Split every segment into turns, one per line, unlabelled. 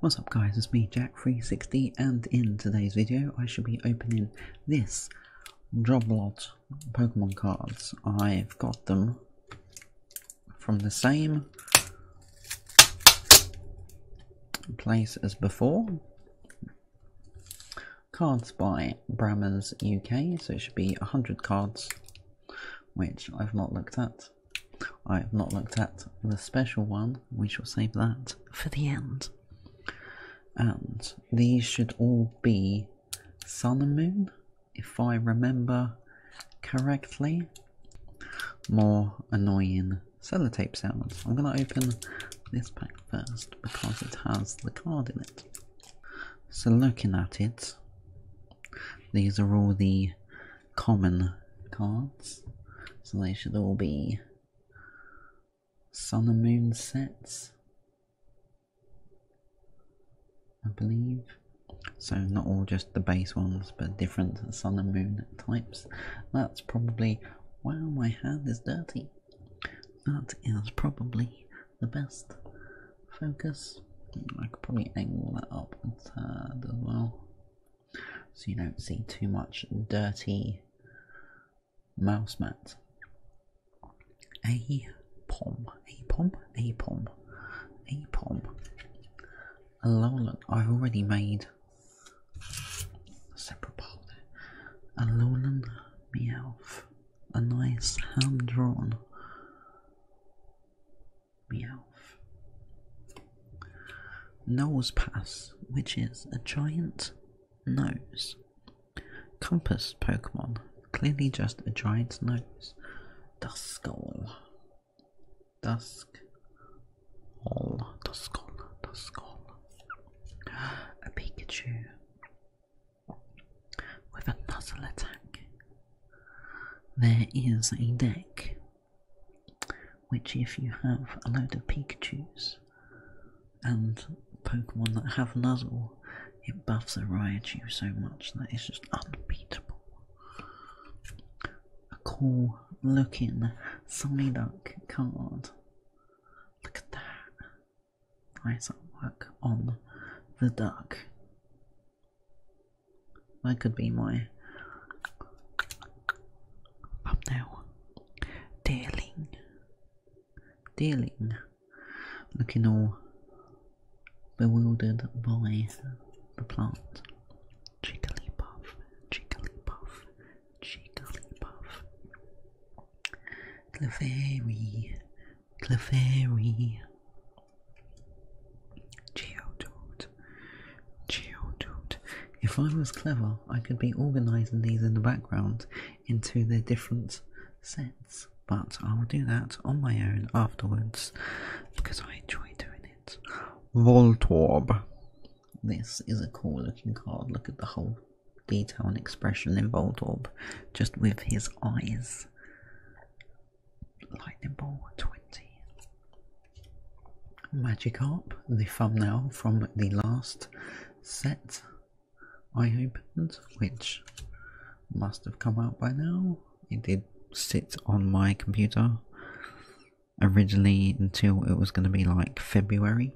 What's up guys, it's me Jack360 and in today's video I should be opening this job Pokemon cards. I've got them from the same place as before. Cards by Brammers UK, so it should be 100 cards, which I've not looked at. I have not looked at the special one. We shall save that for the end. And these should all be sun and moon, if I remember correctly. More annoying tape sounds. I'm going to open this pack first because it has the card in it. So looking at it, these are all the common cards, so they should all be sun and moon sets, I believe. So, not all just the base ones, but different sun and moon types. That's probably. Wow, my hand is dirty. That is probably the best focus. I could probably angle that up a as well, so you don't see too much dirty mouse mat. A pom, a pom, a pom, a pom. A look, I've already made a separate part there. A Lowland Meowth. A nice hand drawn Meowth. Knowles Pass, which is a giant nose. Compass Pokemon, clearly just a giant nose. Duskull. Dusk. All. Duskull. Duskull. A Pikachu with a nuzzle attack. There is a deck which, if you have a load of Pikachu's and Pokemon that have nuzzle, it buffs a Raichu so much that it's just unbeatable. A cool looking Psyduck card. Look at that. Nice artwork on the duck. That could be my thumbnail. Dealing. Dealing. Looking all bewildered by the plant. puff, Jigglypuff, Jigglypuff, puff. Clefairy, Clefairy, Geodude. Geodude. If I was clever, I could be organising these in the background into their different sets, but I will do that on my own afterwards because I enjoy doing it. Voltorb. This is a cool looking card. Look at the whole detail and expression in Voltorb, just with his eyes. Lightning Bolt 20. Magikarp, the thumbnail from the last set I opened, which must have come out by now. It did sit on my computer originally until it was going to be like February.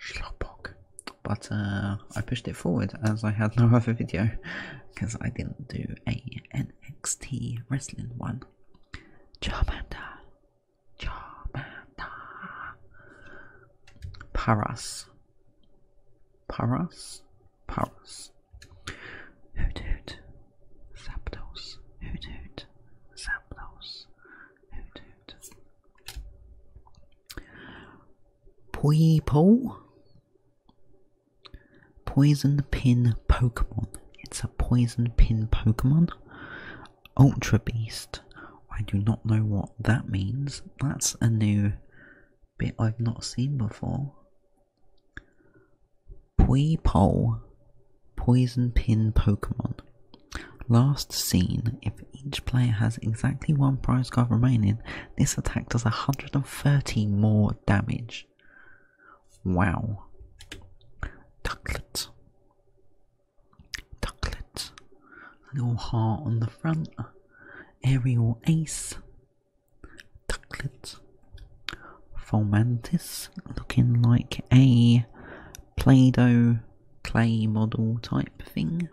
Schlopok but uh, I pushed it forward as I had no other video because I didn't do a NXT wrestling one. Charmander, Charmander, Paras, Paras, Paras, Hoot Hoot, Zapdos, Hoot Hoot, Zapdos, Hoot Hoot. Pui Poipo? Poison Pin Pokemon. It's a Poison Pin Pokemon. Ultra Beast. I do not know what that means. That's a new bit I've not seen before. Pui Poipo. Poison Pin Pokemon. Last seen if each player has exactly one prize card remaining, this attack does 130 more damage. Wow. ducklets, Ducklet. little heart on the front. Aerial Ace. Ducklet. Fulmantis, looking like a Play Doh clay model type thing.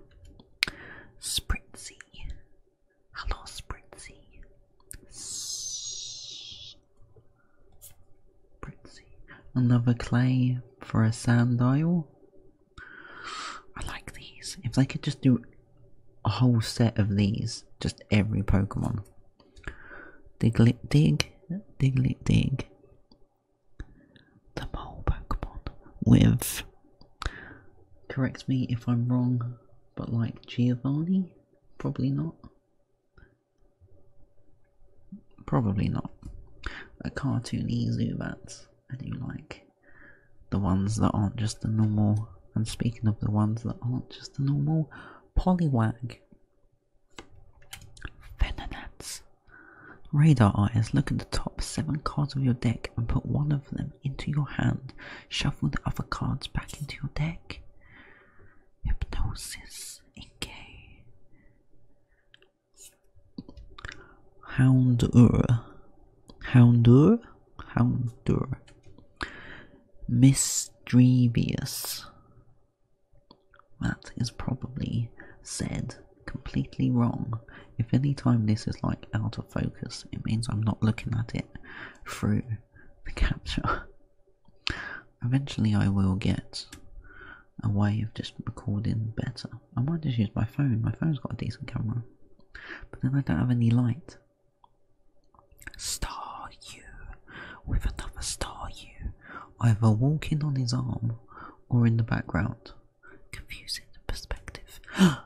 Spritzy. Hello, Spritzy. Spritzy. Another clay for a sand dial. I like these. If they could just do a whole set of these, just every Pokemon. Diglet dig, diglet dig the mole Pokemon with. Correct me if I'm wrong, but like Giovanni? Probably not. Probably not. A cartoony Zubat. I do like the ones that aren't just the normal. And speaking of the ones that aren't just the normal, Poliwag. Venonats. Radar eyes, look at the top seven cards of your deck and put one of them into your hand. Shuffle the other cards back into your deck. Hypnosis, Inkay. Houndur. Houndur? Houndur. Misdrevious. That is probably said completely wrong. If any time this is like out of focus, it means I'm not looking at it through the capture. Eventually I will get a way of just recording better. I might just use my phone, my phone's got a decent camera. But then I don't have any light. Star you with another star you, either walking on his arm or in the background confusing perspective.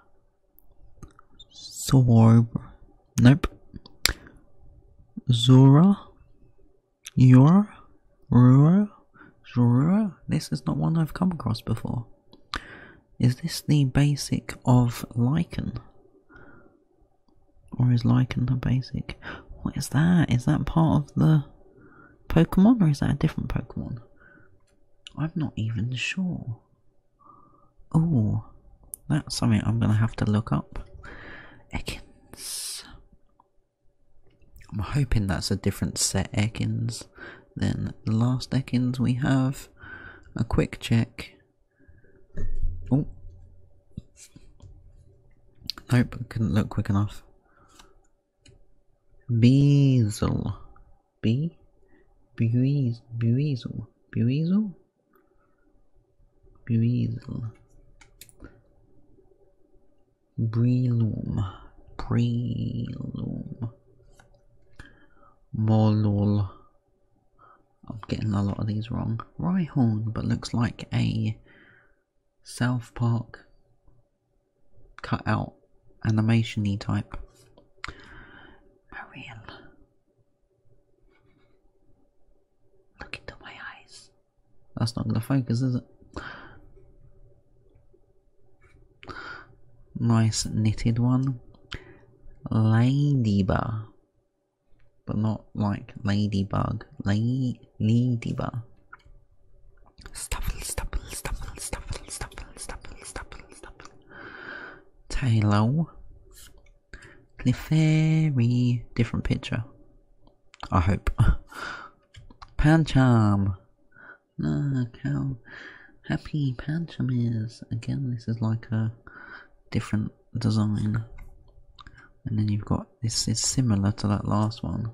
Zor, nope. Zora, Yora, Rura, Zora. This is not one I've come across before. Is this the basic of lichen, Or is lichen the basic? What is that? Is that part of the Pokemon or is that a different Pokemon? I'm not even sure. Oh, that's something I'm going to have to look up. Ekins. I'm hoping that's a different set Ekins than the last Ekins we have. A quick check. Oh. Nope, couldn't look quick enough. Bezel. Be? Beweasel. Beweasel. Beweasel? Beweasel. Brelum. Brelum. Molul. I'm getting a lot of these wrong. horn, but looks like a South Park cut out animation-y type. Mariel. Look into my eyes. That's not gonna focus, is it? Nice knitted one. Ladybug. But not like ladybug. lady ladybug. Stuffle, stuffle, stuffle, stuffle, stuffle, stuffle, stuffle, stuffle. Taylor. Clefairy. Different picture. I hope. Pancham. Look how happy Pancham is. Again, this is like a different design. And then you've got this is similar to that last one.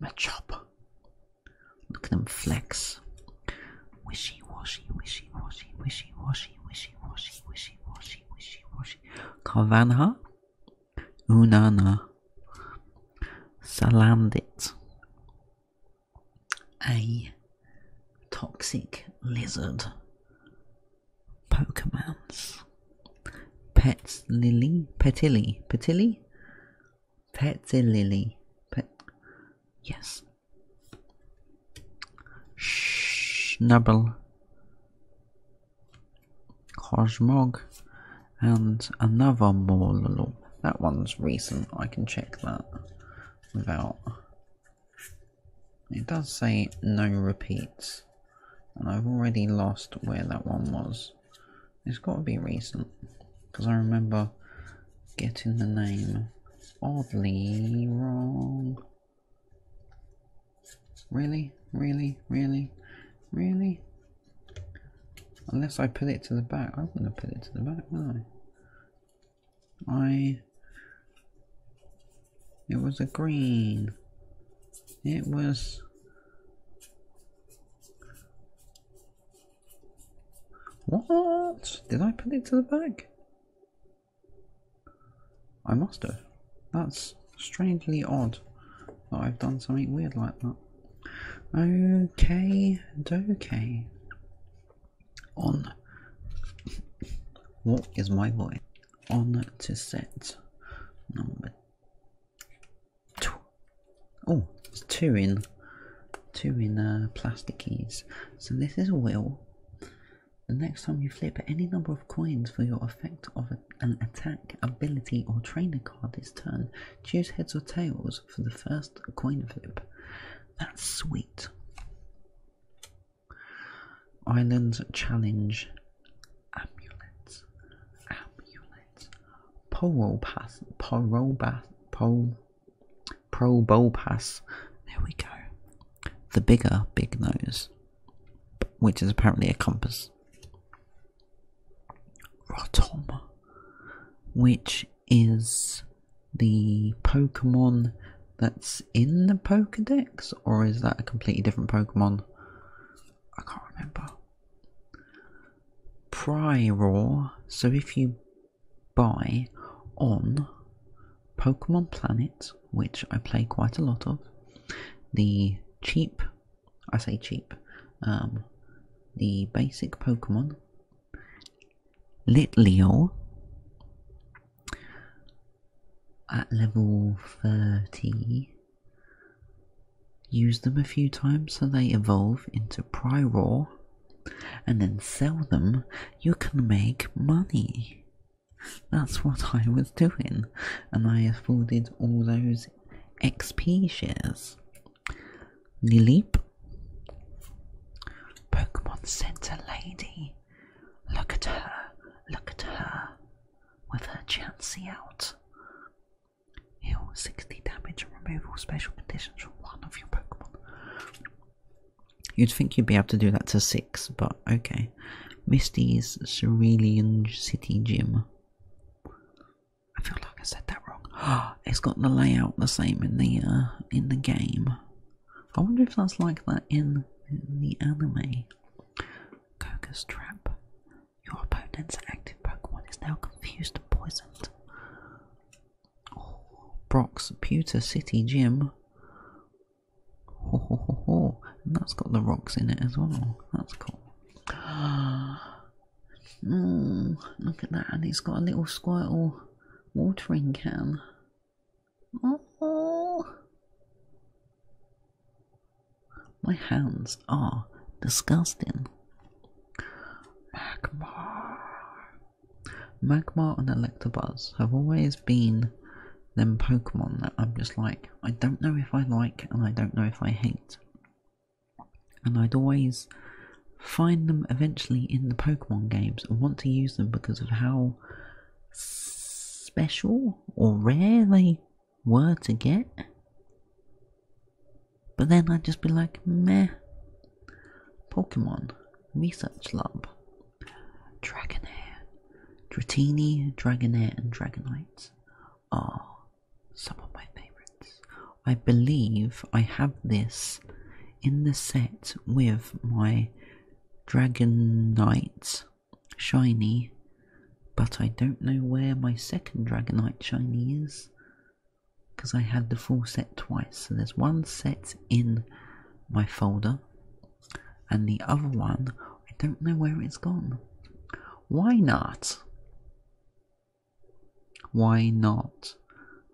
Match up. Look at them flex. Wishy washy, wishy washy, wishy washy, wishy washy, wishy washy, wishy washy. Carvanha? Unana. Salandit. A toxic lizard. Pokemons. Pets Lily? Petilly? Petilly? Patsy Lily. Pat yes. Schnabel. Cosmog. And another more Morlul. That one's recent. I can check that without. It does say no repeats. And I've already lost where that one was. It's got to be recent because I remember getting the name oddly wrong. Really? Really? Really? Really? Unless I put it to the back. I am gonna put it to the back, would I? I... It was a green. It was what? Did I put it to the back? I must have. That's strangely odd that I've done something weird like that. Okay, okay. On. What is my voice? On to set number Oh, there's two in, two in uh, plastic keys. So this is a wheel. The next time you flip any number of coins for your effect of an attack, ability, or trainer card this turn, choose heads or tails for the first coin flip. That's sweet. Island Challenge amulets, amulets, poropas, porobas, po, probopas. There we go. The bigger big nose, which is apparently a compass. Rotom, which is the Pokemon that's in the Pokedex, or is that a completely different Pokemon? I can't remember. Prior, so if you buy on Pokemon Planet, which I play quite a lot of, the cheap, I say cheap, um, the basic Pokemon, Litleo, at level 30, use them a few times so they evolve into Prior, and then sell them, you can make money. That's what I was doing, and I afforded all those XP shares. Lilip, Pokemon Center Lady, look at her, look at her, with her Chansey out. Heal 60 damage and remove all special conditions from one of your Pokemon. You'd think you'd be able to do that to six, but okay. Misty's Cerulean City Gym. I feel like I said that wrong. it's got the layout the same in the uh, in the game. I wonder if that's like that in, in the anime. Koga's Trap. Your opponent's active Pokemon is now confused and poisoned. Oh, Brock's Pewter City Gym. Ho, ho, ho, ho. And that's got the rocks in it as well. That's cool. Mm, look at that, and it's got a little squirtle watering can. Oh, my hands are disgusting. Magmar. Magmar and Electabuzz have always been them Pokemon that I'm just like, I don't know if I like and I don't know if I hate. And I'd always find them eventually in the Pokemon games and want to use them because of how special or rare they were to get. But then I'd just be like, meh. Pokemon, Research Lab, Dragonair, Dratini, Dragonair, and Dragonite are some of my favourites. I believe I have this in the set with my Dragonite shiny, but I don't know where my second Dragonite shiny is because I had the full set twice. So there's one set in my folder, and the other one, I don't know where it's gone. Why not? Why not?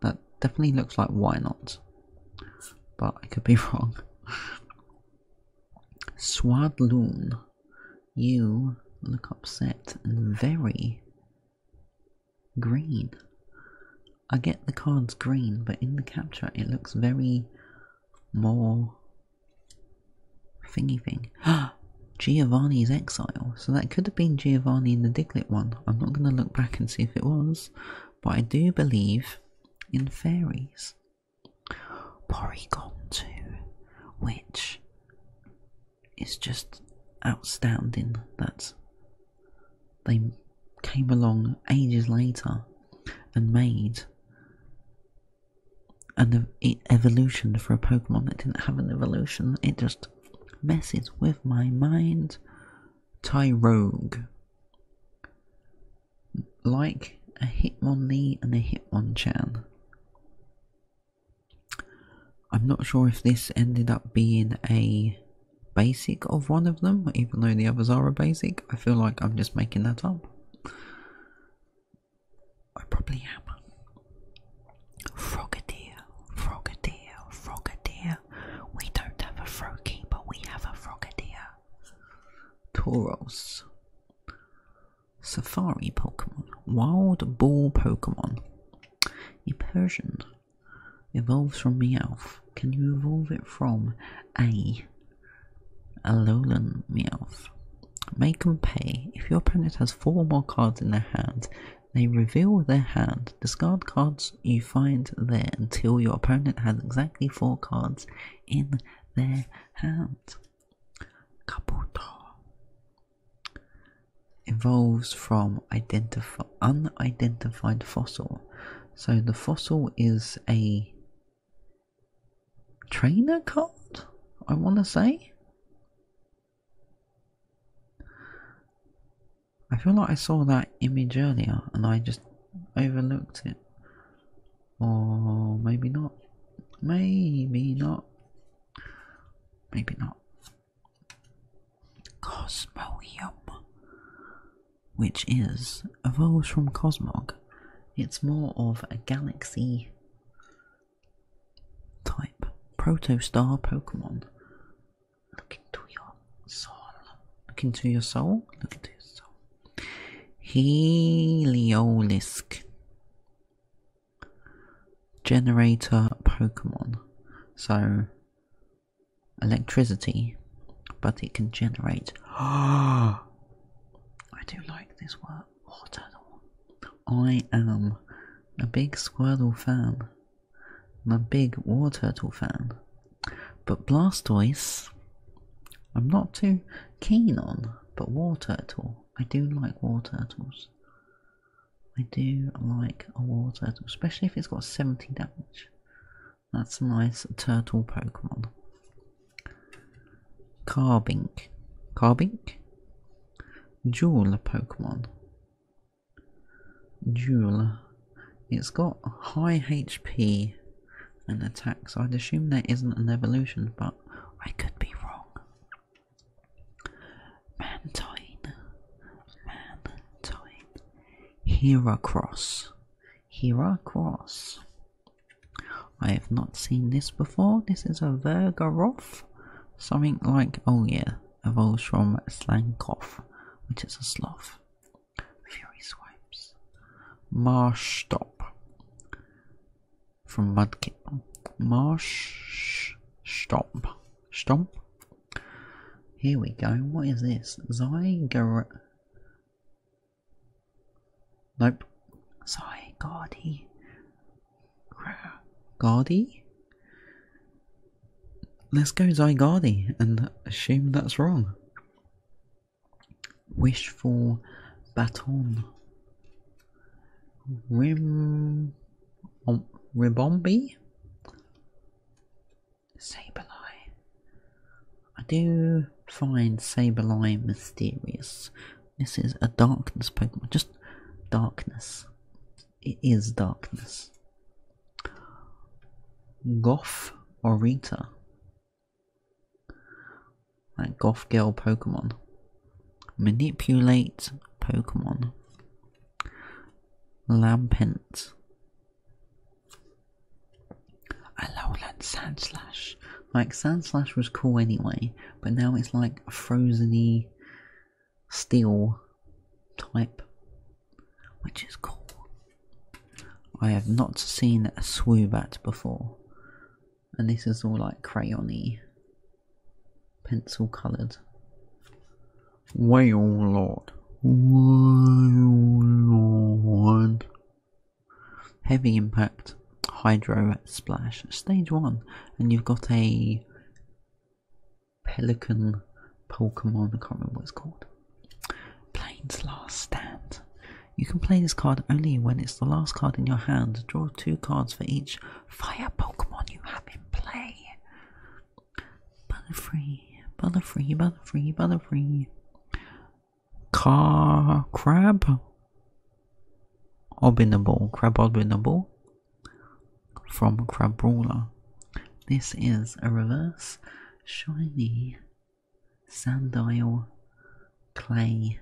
That definitely looks like why not, but I could be wrong. Swadloon, you look upset and very green. I get the card's green, but in the capture it looks very more thingy thing. Giovanni's exile. So that could have been Giovanni in the Diglett one. I'm not going to look back and see if it was, but I do believe in fairies. Porygon 2, which is just outstanding that they came along ages later and made an evolution for a Pokemon that didn't have an evolution. It just messes with my mind. Tyrogue like a Hitmonlee and a Hitmonchan. I'm not sure if this ended up being a basic of one of them, even though the others are a basic. I feel like I'm just making that up. I probably am. Frogadier, Frogadier, Frogadier. We don't have a Froakie, but we have a Frogadier. Tauros, Safari Pokemon, Wild Ball Pokemon. A Persian evolves from Meowth. Can you evolve it from a a Lowland Meowth? Make them pay. If your opponent has four more cards in their hand, they reveal their hand. Discard cards you find there until your opponent has exactly four cards in their hands. Kabuto evolves from unidentified fossil. So the fossil is a trainer card, I want to say. I feel like I saw that image earlier and I just overlooked it or maybe not maybe not maybe not cosmoium which is evolves from cosmog it's more of a galaxy type proto-star pokemon look into your soul look into your soul look into your soul Heliolisk. Generator Pokemon. So, electricity, but it can generate. I do like this word, water. I am a big Squirtle fan. I'm a big War Turtle fan. But Blastoise, I'm not too keen on. But War Turtle, I do like War Turtles. I do like a water Turtle, especially if it's got 70 damage. That's a nice turtle Pokemon. Carbink. Carbink? Jewel Pokemon. Jewel it's got high HP and attacks. I'd assume there isn't an evolution, but I could be wrong. Mantine. Mantine. Heracross. Heracross. I have not seen this before. This is a Vergaroth. Something like, oh yeah, evolves from Slankoff, which is a Slough. Fury Swipes, Marsh Stop from Mudkip, Marsh Stomp, Stomp. Here we go. What is this? Zygar. Nope. Zygardi. Gardie. Let's go Zygarde, and assume that's wrong. Wish for baton. Rim, um, Ribombi? Sableye. I do find Sableye mysterious. This is a darkness Pokemon. Just darkness. It is darkness. Goth Orita. Like Goth Girl Pokemon. Manipulate Pokemon. Lampent. I A lowland sandslash. Like sandslash was cool anyway, but now it's like a frozeny steel type which is cool. I have not seen a swoobat before, and this is all like crayony, pencil coloured. Whale Lord. Whale Lord. Heavy impact, hydro splash, stage one, and you've got a pelican Pokemon, I can't remember what it's called. Plains Last Stand. You can play this card only when it's the last card in your hand. Draw two cards for each fire Pokemon you have in play. Butterfree, Butterfree, Butterfree, Butterfree. Car Crab. Obinable, Crab Obinable. From Crabrawler. This is a reverse shiny sand oil clay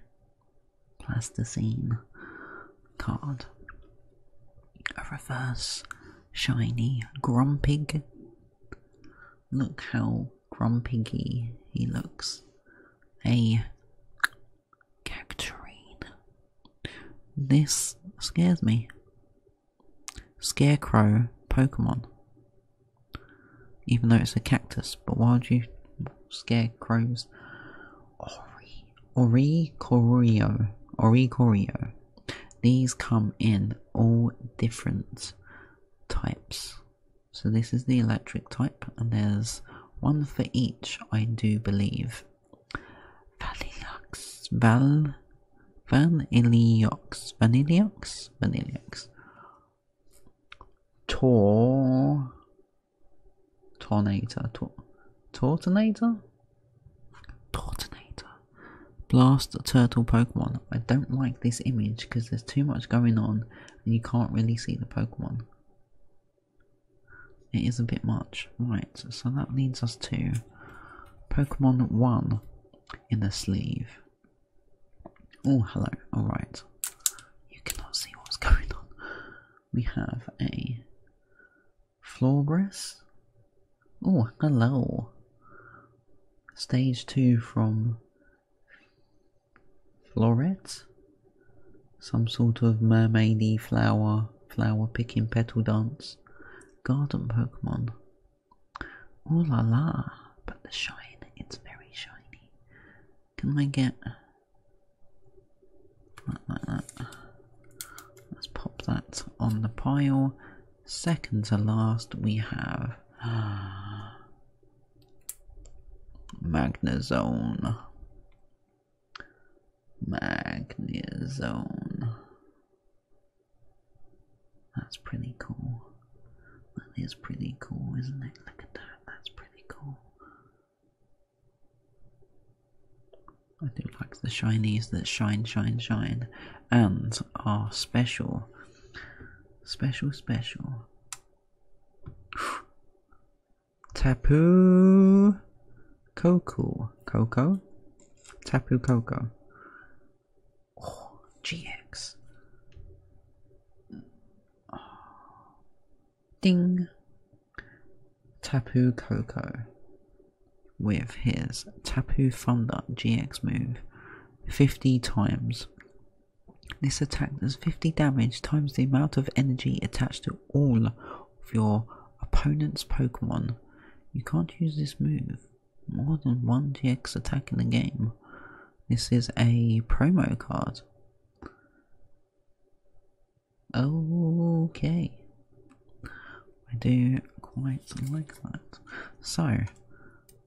plasticine card. A reverse shiny grumpy. Look how grumpy he looks. A Cacturine. This scares me. Scarecrow Pokemon. Even though it's a cactus, but wild you scarecrows? Ori Ori Corio. Ori Corio. These come in all different types. So this is the electric type, and there's one for each, I do believe. Valilux Val Vaniliox, Vaniliox, Vaniliox. Tor, Tornator, Tor, Tortonator, Tortonator. Blast turtle Pokemon. I don't like this image because there's too much going on and you can't really see the Pokemon. It is a bit much. Right, so that leads us to Pokemon 1 in the sleeve. Oh, hello. Alright. You cannot see what's going on. We have a floor brass. Oh, hello. Stage 2 from florets. Some sort of mermaidy flower, flower picking petal dance. Garden Pokemon. Ooh la la, but the shine, it's very shiny. Can I get Let's pop that on the pile. Second to last we have Magnezone. Magnezone. That's pretty cool. That is pretty cool, isn't it? Look at that. That's pretty cool. I do like the shinies that shine, shine, shine, and um, are special. Special, special. Tapu Coco. Coco? Tapu Coco. GX. Ding. Tapu Koko with his Tapu Thunder GX move 50 times. This attack does 50 damage times the amount of energy attached to all of your opponent's Pokemon. You can't use this move more than one GX attack in the game. This is a promo card. Okay. I do quite like that. So,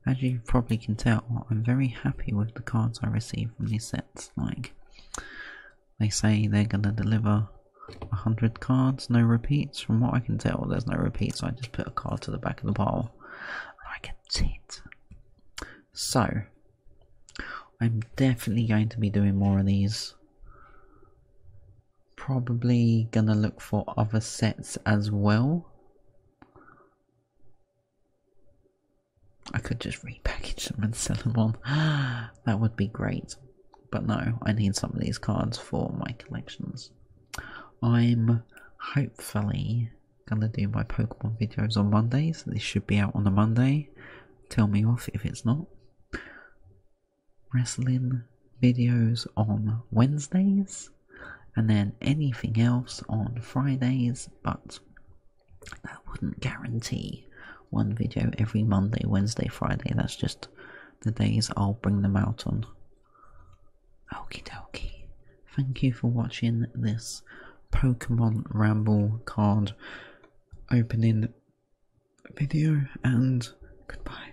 as you probably can tell, I'm very happy with the cards I receive from these sets. Like, they say they're going to deliver 100 cards, no repeats. From what I can tell, there's no repeats. I just put a card to the back of the pile I can see it. So, I'm definitely going to be doing more of these. Probably gonna look for other sets as well. I could just repackage them and sell them on. That would be great. But no, I need some of these cards for my collections. I'm hopefully gonna do my Pokemon videos on Mondays. This should be out on a Monday. Tell me off if it's not. Wrestling videos on Wednesdays, and then anything else on Fridays, but that wouldn't guarantee one video every Monday, Wednesday, Friday. That's just the days I'll bring them out on. Okie dokie. Thank you for watching this Pokemon Ramble card opening video and goodbye.